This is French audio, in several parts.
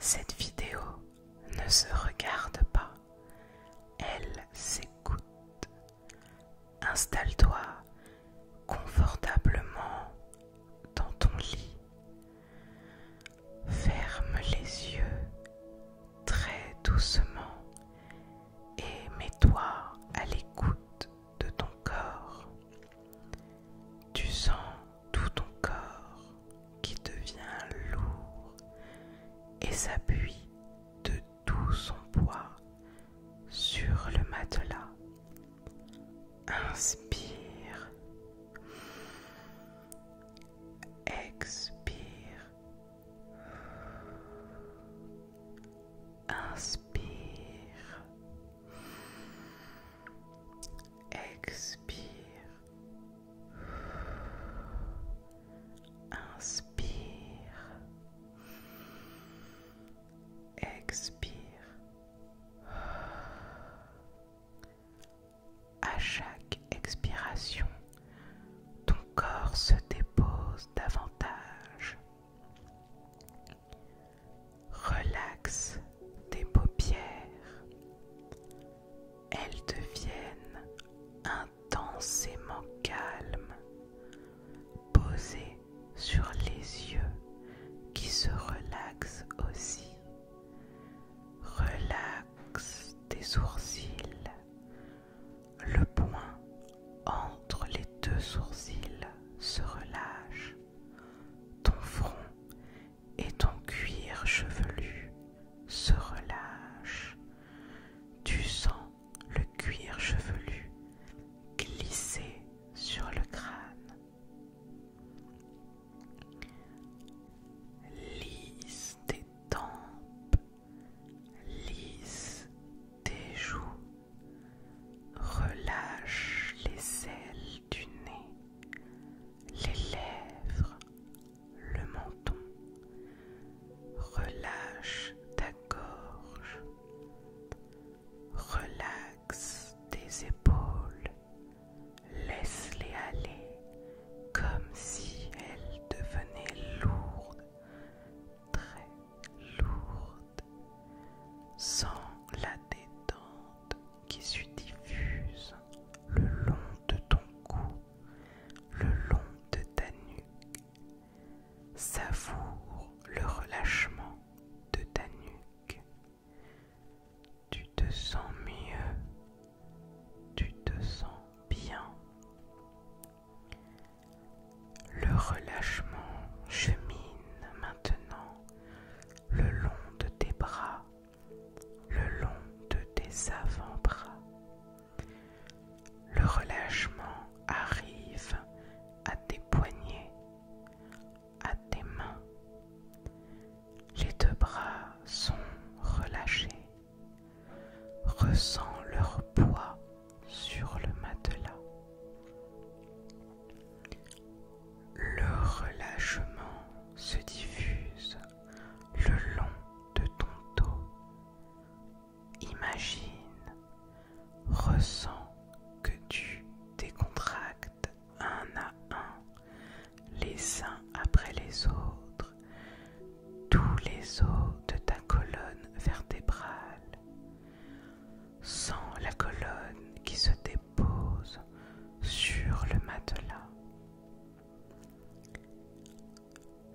Cette vidéo ne se regarde pas, elle s'écoute. Installe-toi confortablement dans ton lit. Ferme les yeux très doucement et mets-toi à l'écoute de ton corps. Tu sens tout ton corps qui devient lourd et s'appuie de tout son poids sur le matelas. Inspire. Expire. Inspire. Expire. Inspire. Expire. À chaque expiration, ton corps se dépose davantage. Relaxe tes paupières. Elles deviennent intensément calmes, posées sur les yeux qui se relaxent aussi. Relaxe tes sourcils. Le point entre les deux sourcils se relâche. Ton front et ton cuir chevelu se relâchent. Tu sens le cuir chevelu glisser sur le crâne. Lisse tes tempes, lisse tes joues, Relâche les ailes du nez, les lèvres, le menton. Relâche ta gorge. Relaxe tes épaules. Laisse-les aller comme si elles devenaient lourdes, très lourdes. Sens la détente qui se diffuse le long de ton cou, le long de ta nuque. Savoure le relâchement de ta nuque. Tu te sens mieux, tu te sens bien. Le relâchement chemine maintenant le long de tes bras, le long de tes avant-bras. Le relâchement arrive à tes poignets, à tes mains. Les deux bras sont relâchés. Ressens leur poids sur le matelas. Le relâchement se diffuse le long de ton dos. Imagine, ressens que tu décontractes un à un, les uns après les autres, tous les os de ta colonne vertébrale, sans la colonne qui se dépose sur le matelas.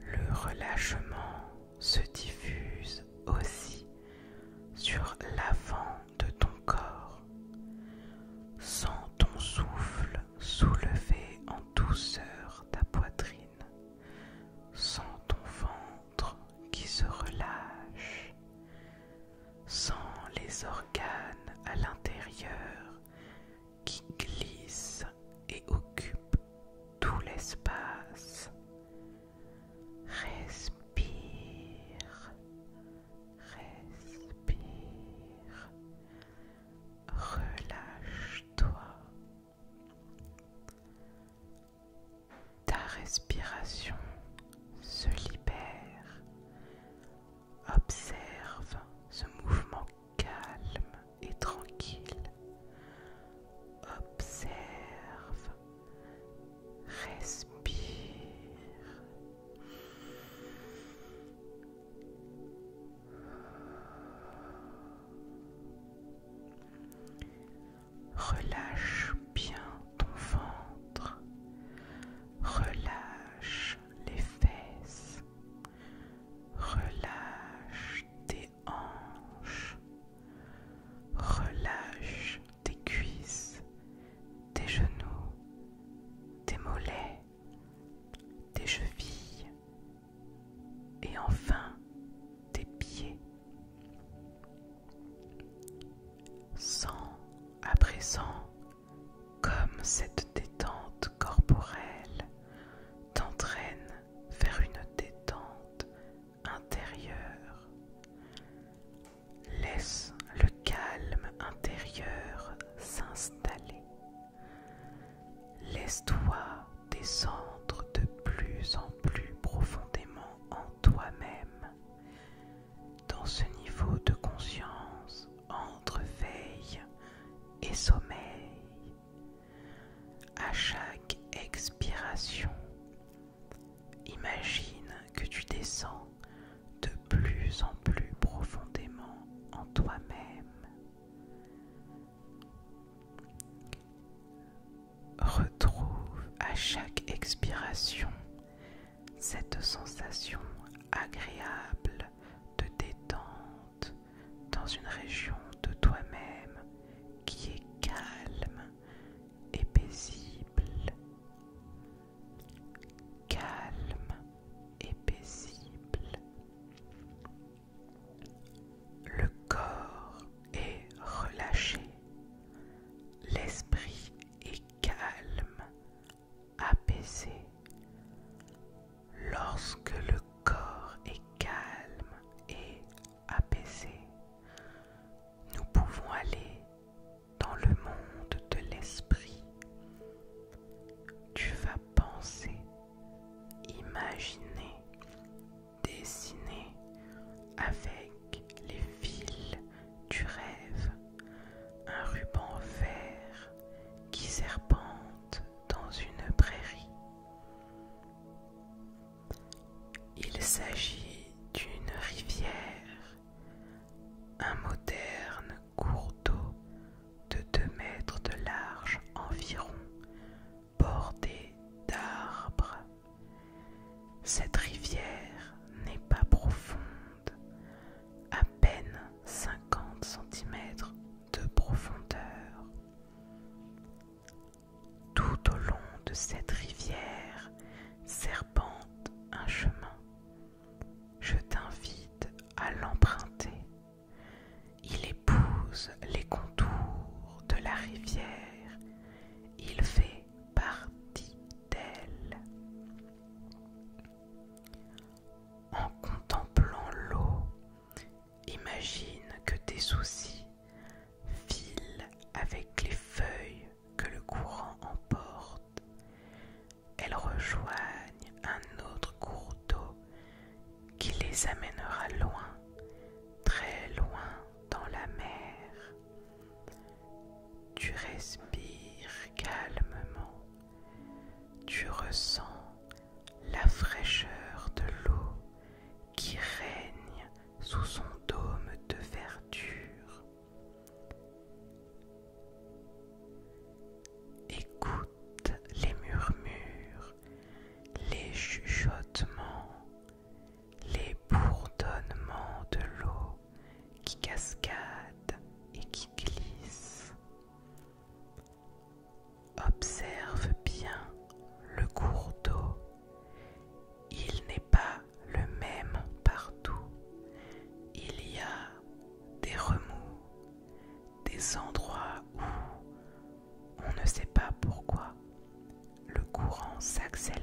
Le relâchement se diffuse aussi sur l'avant de ton corps, sans ton souffle soulever en douceur ta poitrine. Sans ton ventre qui se relâche. sans les organes à l'intérieur qui glissent et occupent tout l'espace. Respire, respire, relâche-toi, ta respiration se libère. Observe ce mouvement calme et tranquille. Observe. Respire. Relâche bien ton ventre, relâche les fesses, relâche tes hanches, relâche tes cuisses, tes genoux, tes mollets, tes chevilles, et enfin tes pieds. Sens à présent comme cette détente corporelle t'entraîne vers une détente intérieure. Laisse le calme intérieur s'installer. Laisse-toi descendre de plus en plus profondément en toi-même. Dans ce niveau de conscience entre veille et sommeil, à chaque expiration, imagine que tu descends de plus en plus profondément en toi-même. Retrouve à chaque expiration cette sensation agréable de détente dans une région de toi-même qui est calme et paisible. Calme et paisible. Le corps est relâché, l'esprit est calme, apaisé. Lorsque le corps est calme et apaisé, nous pouvons aller dans le monde de l'esprit. Tu vas penser, imaginer, dessiner avec les fils du rêve un ruban vert qui serpente dans une prairie. Il s'agit d'une rivière, un moderne cours d'eau de 2 mètres de large environ, bordé d'arbres. Cette rivière n'est pas profonde, à peine 50 cm de profondeur. Tout au long de cette rivière serpente un chemin je t'invite à l'emprunter. Il épouse les contours de la rivière. Il fait partie d'elle. En contemplant l'eau, imagine que tes soucis filent avec les feuilles que le courant emporte elles rejoignent un autre cours d'eau qui les amènera loin, très loin dans la mer. Tu respires calmement, tu ressens la fraîcheur de l'eau qui règne sous son dôme de verdure. Écoute les murmures, les chuchotements, les bourdonnements de l'eau qui cascade et qui glisse. Observe bien le cours d'eau. Il n'est pas le même partout. Il y a des remous, des endroits où on ne sait pas pourquoi le courant s'accélère.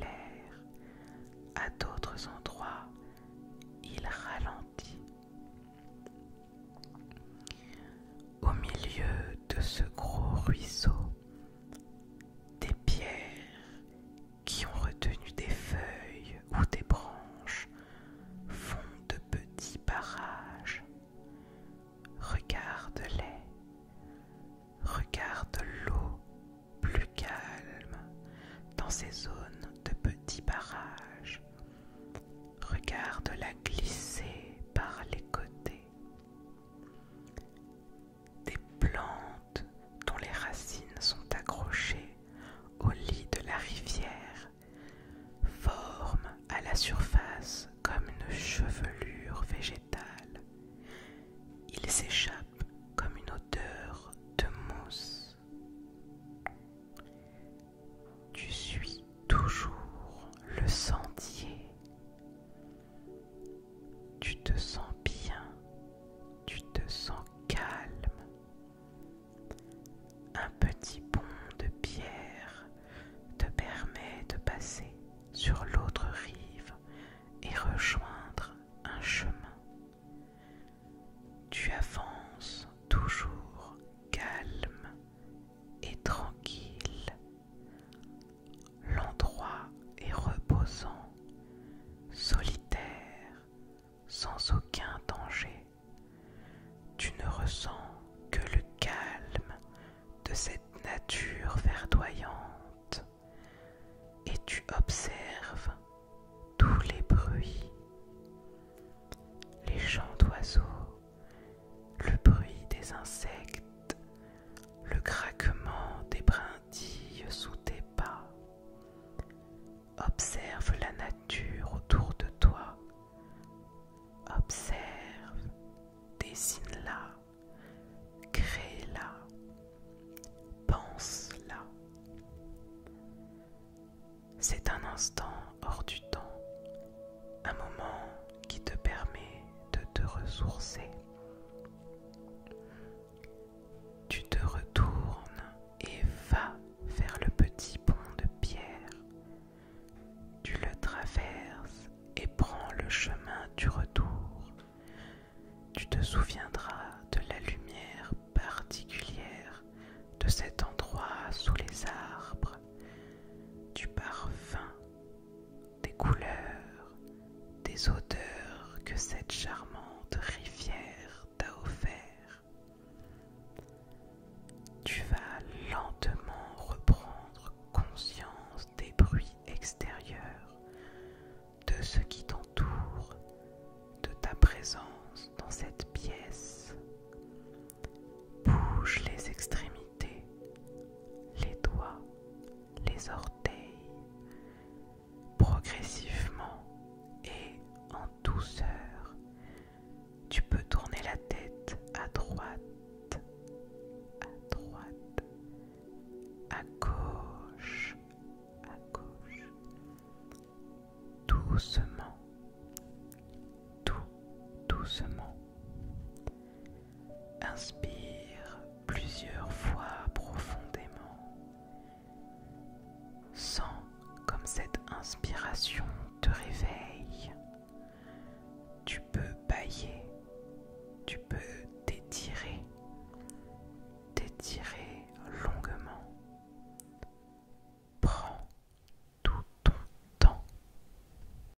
À d'autres endroits, il ralentit. Au milieu de ce gros ruisseau, des pierres qui ont retenu des feuilles ou des branches font de petits barrages. Regarde-les, regarde l'eau plus calme dans ces zones de petits barrages. Regarde-la glisser par les côtés des plantes dont les racines sont accrochées au lit de la rivière forment à la surface comme une chevelure végétale. Il s'échappe comme une odeur de mousse. Tu suis toujours le sentier. Tu te sens bien tu te sens calme. Un petit pont de pierre te permet de passer sur l'autre rive et rejoindre un chemin. Tu avances toujours calme et tranquille L'endroit est reposant, solitaire, sans aucun danger. Tu ne ressens que le calme de cette nature verdoyante et tu observes tous les bruits, les chants d'oiseaux, le bruit des insectes le craquement des brindilles sous tes pas. Observe la nature autour de toi. Observe, dessine-la, crée-la, pense-la. C'est un instant hors du temps, un moment qui te permet de te ressourcer. Tu te retournes et vas vers le petit pont de pierre. Tu le traverses et prends le chemin du retour. Tu te souviendras de la lumière particulière de cet endroit sous les arbres, du parfum des couleurs, des odeurs que cette charmante rivière t'a offert. Tu vas lentement reprendre conscience des bruits extérieurs, de ce qui t'entoure, de ta présence dans cette pièce. Bouge les extrémités, les doigts, les orteils progressivement et en douceur. Tu peux tourner la tête à droite, à droite, à gauche, à gauche, doucement, tout doucement. Inspire plusieurs fois profondément. Sens comme cette inspiration te réveille. Tu peux bailler, tu peux t'étirer, t'étirer longuement. Prends tout ton temps.